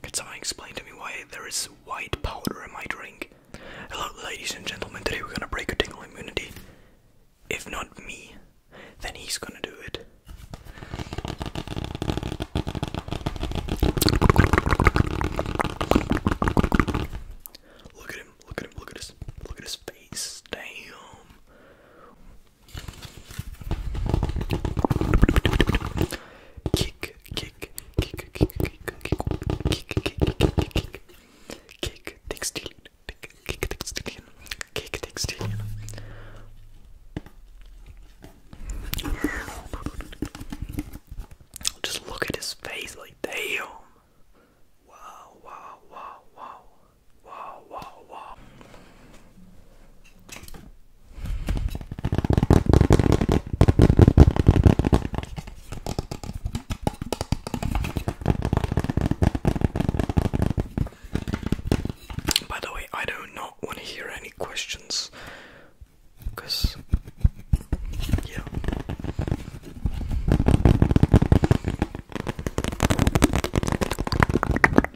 Can someone explain to me why there is white powder in my drink? Hello, ladies and gentlemen, today we're gonna break a tingle immunity. If not me, then he's gonna do it. Look at him, look at him, look at his look at his face. Damn. Kick, kick, kick, kick, kick, kick, kick, kick, kick, kick, textilian, kick, textilian, kick, textilian. Just look at his face, like damn. Wow, wow, wow, wow, wow, wow, wow. By the way, I do not want to hear any questions because, yeah.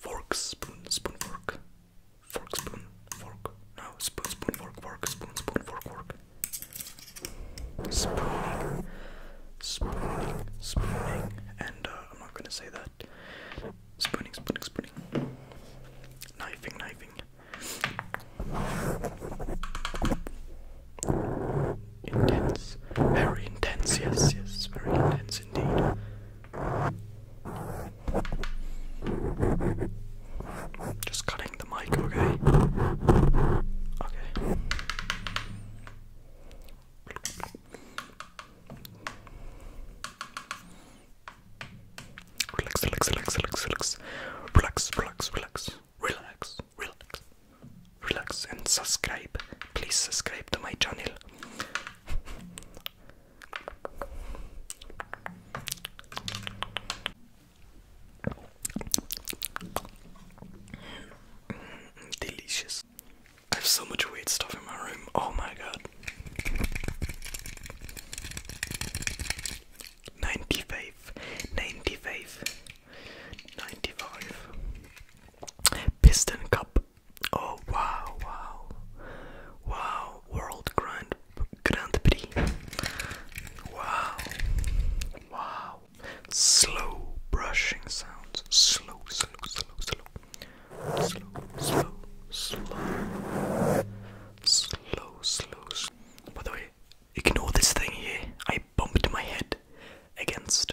fork, spoon, spoon, fork, fork, spoon, fork, no, spoon, spoon, fork, fork, spoon, spoon, fork, fork, spooning, spooning, spooning, and uh, I'm not gonna say that. Spooning, spooning, spooning, knifing, knifing intense, very intense, yes, yes, very intense indeed. Just cutting the mic, okay? Okay. Relax, relax, relax, relax, relax, relax, relax, relax, relax, relax, relax, and subscribe. Please subscribe to my channel. Delicious. I have so much weird stuff in my room. Oh my god. 95, 95, 95, Piston Cup. Oh wow, wow, wow! World Grand Grand Prix. Wow, wow! Slow brushing sounds. Slow, slow, slow, slow, slow, slow, slow, slow, slow. slow. By the way, ignore this thing here. I bumped my head against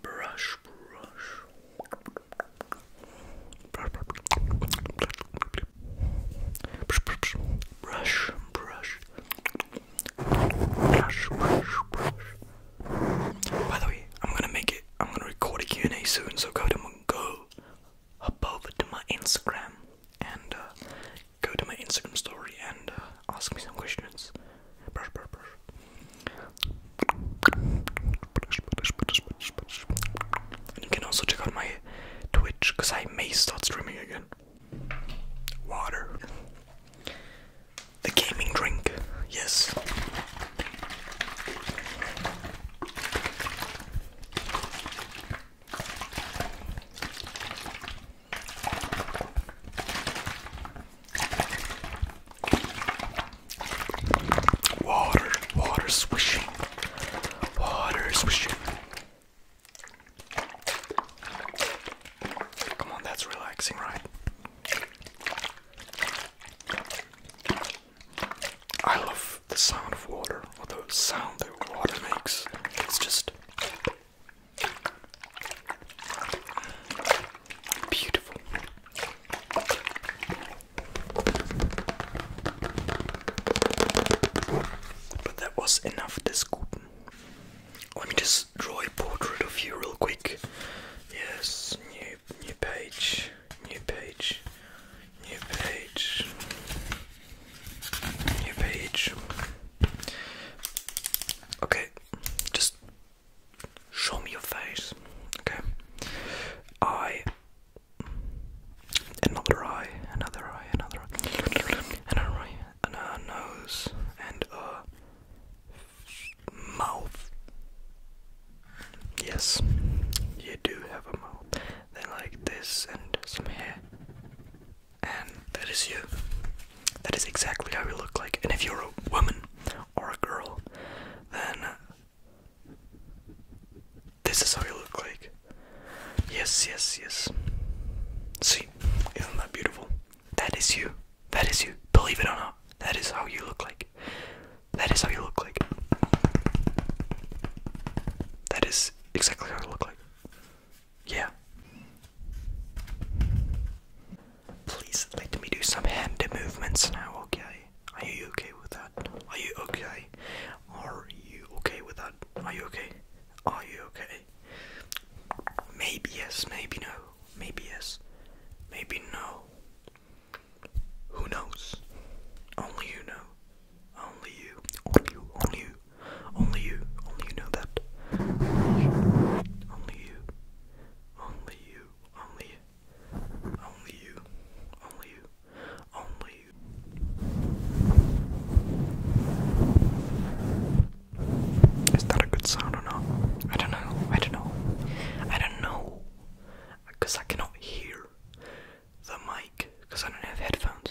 brush, brush, brush, brush, brush. Brush, brush, brush. By the way, I'm gonna make it. I'm gonna record a Q&A soon, so go to my, go up over to my Instagram and uh, go to my Instagram story and uh, ask me some questions. Brush, brush, brush you can also check out my Twitch because I may start streaming again. Water. The gaming drink, yes. Water, water swishing, water swishing. Come on, that's relaxing, right? I love the sound of water, or the sound that water makes. It's just beautiful that was enough this Guten. Let me just draw a portrait of you real quick. Yes, new new page, new page, new page, new page. Okay, just Show me your face. Okay. Eye. Another eye. Another eye. Another eye. Another nose. And a mouth. Yes. You do have a mouth. Then like this and some hair. And that is you. That is exactly how you look like. And if you're a woman or a girl, then this is how you look like. Yes, yes, yes. See, isn't that beautiful? That is you. That is you. Believe it or not, that is how you look like. That is how you look like. That is exactly how you look like. Yeah. Please let me do some hand movements now, okay? Are you okay with that? Are you okay? Are you okay with that? Are you okay? Are you okay? Maybe yes, maybe no. Maybe yes, maybe no. Who knows? Only you know. Only you. Only you. Only you. Only you. Only you know that. Only you. Only you. Only Only you. Only you. Only you. Is that a good sound or not? I don't know. I don't know. I don't know. Because I cannot hear the mic because I don't have headphones.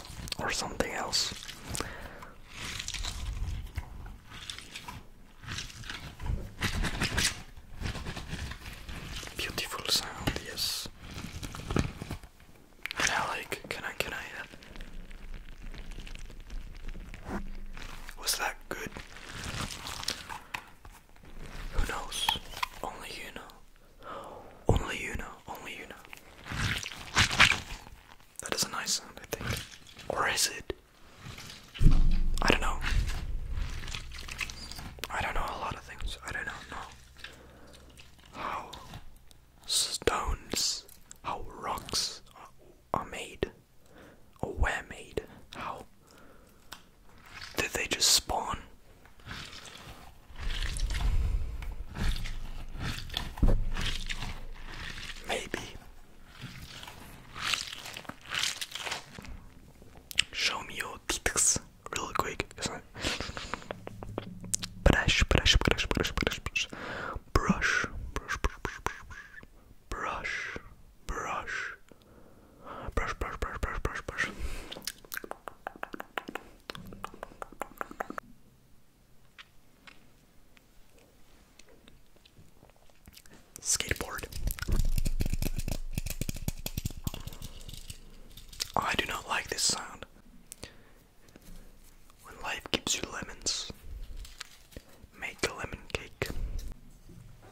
or something else. Beautiful sound, yes. And I like, can I, can I? Uh, was that good? Who knows? Only you know. Only you know, only you know. That is a nice sound, I think. Or is it? I don't know. I don't know a lot of things. I don't know how stones, how rocks are, made, or where made, how did they just spawn? Maybe. Show me your tits real quick. Brush, brush, brush, brush, brush, brush, brush, brush, brush, brush, brush, brush, brush, brush, brush, Brush, brush, brush, brush, brush, brush. Skateboard. I do not like this sound. When life gives you lemons, make a lemon cake.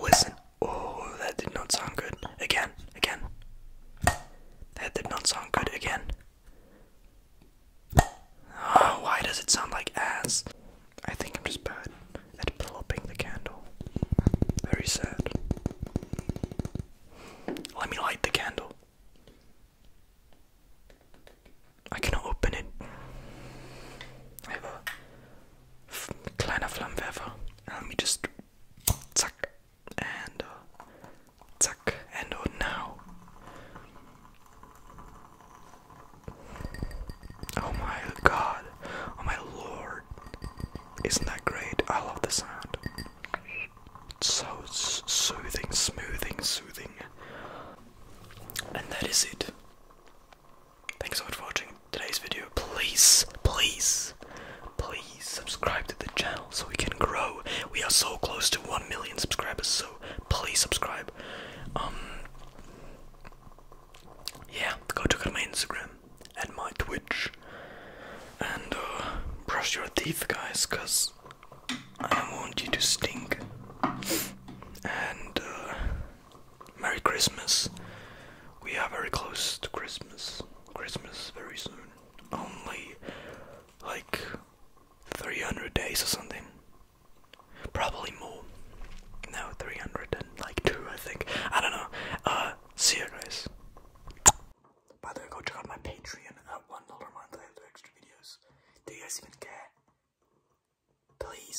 Listen. Oh, that did not sound good. Again, again. That did not sound good again. Oh, why does it sound like ass? I think I'm just bad at plopping the candle. Very sad. Let me light the candle. I cannot open it kleiner Flammenwerfer. let me just zack and uh, zack and oh now. Oh my god. Oh my lord. Isn't that great? I love the sound. It's so soothing, smoothing, soothing. And that is it. Thanks so much for watching today's video. Please, please, please subscribe to the channel so we can grow. We are so close to 1 million subscribers, so please subscribe. Um, yeah, go to my Instagram and my Twitch. And uh, brush your teeth, guys, because I don't want you to stink. And uh, Merry Christmas. We are very close to Christmas. Christmas very soon. Only like 300 days or something. Probably more. No, 300 and like 2 I think. I don't know. Uh, see you guys. By the way, go check out my Patreon at $1 month. I have extra videos. Do you guys even care? Please.